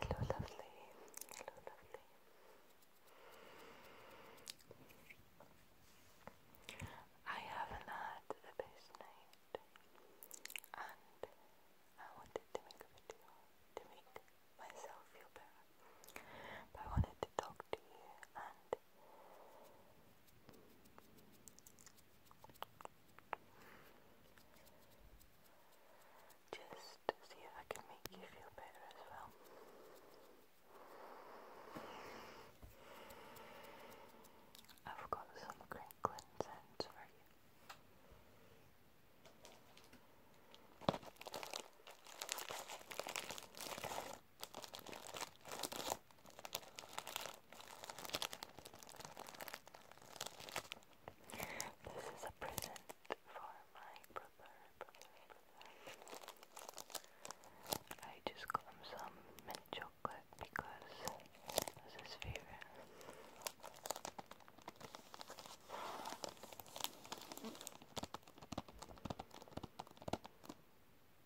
Hello, lovely. Hello, lovely. I haven't had the best night, and I wanted to make a video to make myself feel better. But I wanted to talk to you just see if I can make you feel better as well. I've got some crinkling sounds for you. This is a present for my brother, I just got him some mint chocolate because it was his favorite.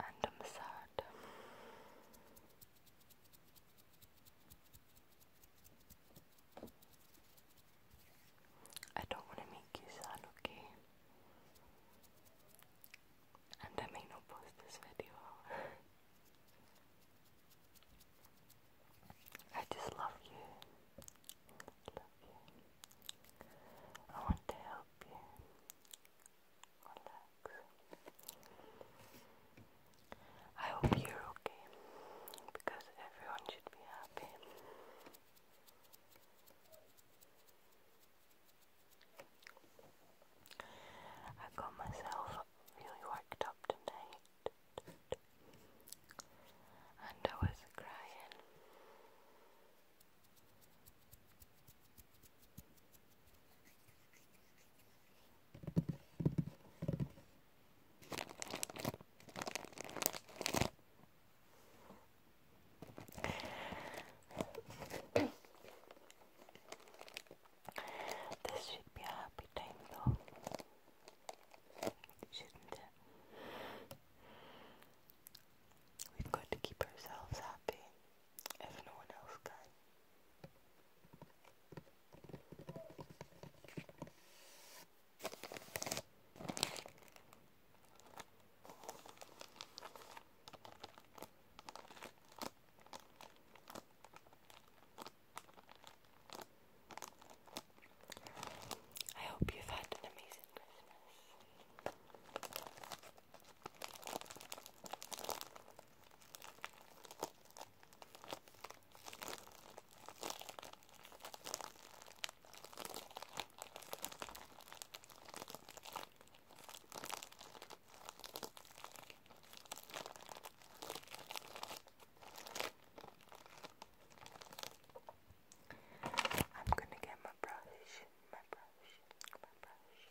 and I'm sad. I don't want to make you sad, okay? And I may not post this video. I just love you. Love you. I want to help you. I hope you're okay because everyone should be happy. I got myself really worked up tonight and I was crying this should be a happy time though, We've got to keep ourselves happy if no one else can. I hope you've had an amazing Christmas. I'm gonna get my brush, my brush, my brush,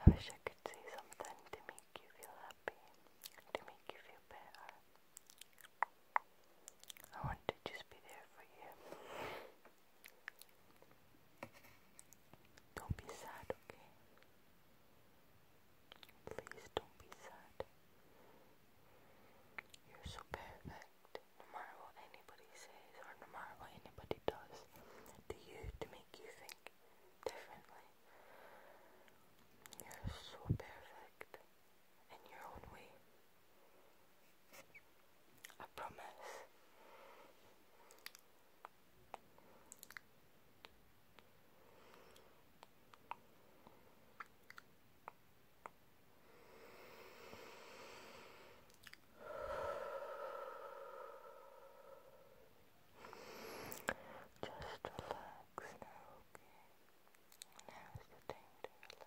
I wish I could say something to make you feel happy, to make you feel better. I want to just be there for you. Don't be sad, okay? Please don't be sad. You're so perfect no matter what anybody says or no matter what anybody does to you to make you think differently. You're so perfect in your own way. I promise. Just relax now, okay? Now is the time to relax.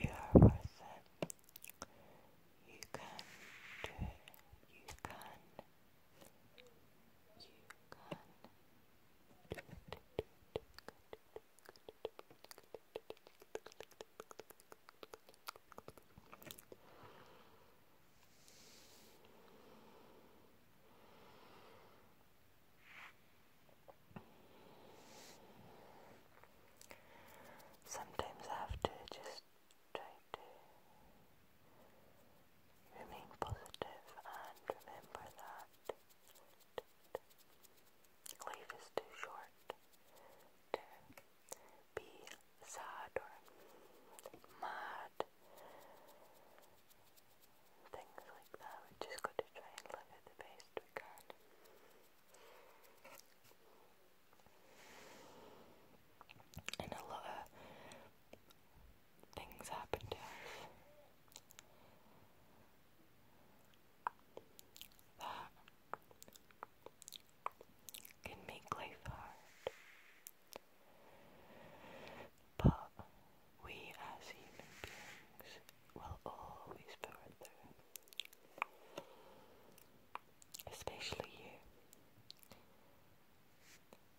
You are worth it. You can do it. You can Sometimes I have to just try to Remain positive and remember that life is too short to be sad or mad, things like that. We just got to try and live it the best we can. And a lot things happen to us that can make life hard. But we as human beings will always power through. Especially you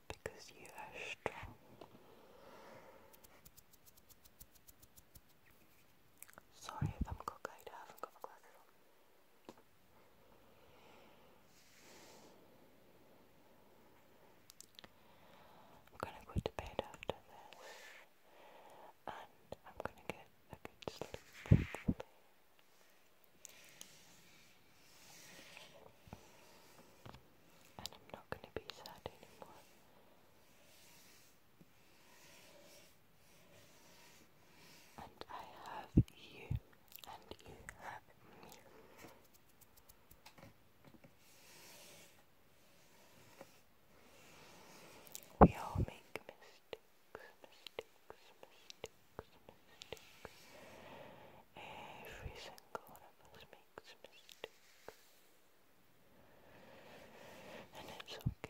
because you are strong. Sorry if I'm cockeyed, I haven't got I'm gonna go to bed after this and I'm gonna get a good sleep. And I'm not going to be sad anymore. And I have you, and you have me. We all make mistakes, mistakes, mistakes, mistakes. Every single one of us makes mistakes. And it's okay.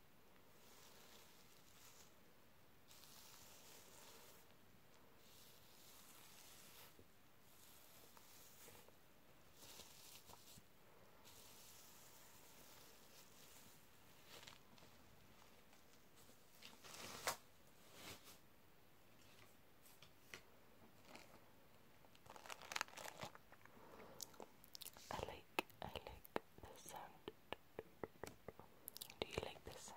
I like I like the sound do you like this scent?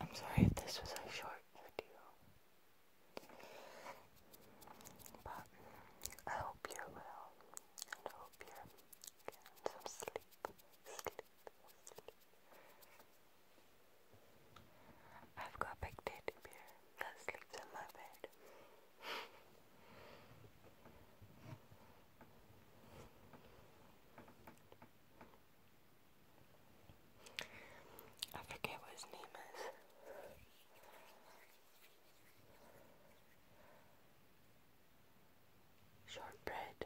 I'm sorry if this was a short video, but I hope you're I hope you're some sleep. Sleep, sleep. I've got big teddy bear that sleeps in my bed. I forget what his name is. Shortbread.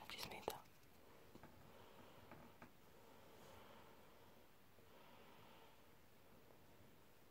I just made that.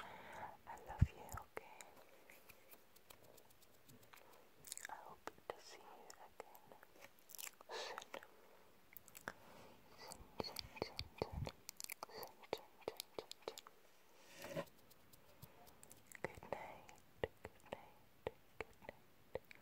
I love you, okay? I hope to see you again soon. Soon, soon, soon, soon, soon, soon, Good night, good night, good night.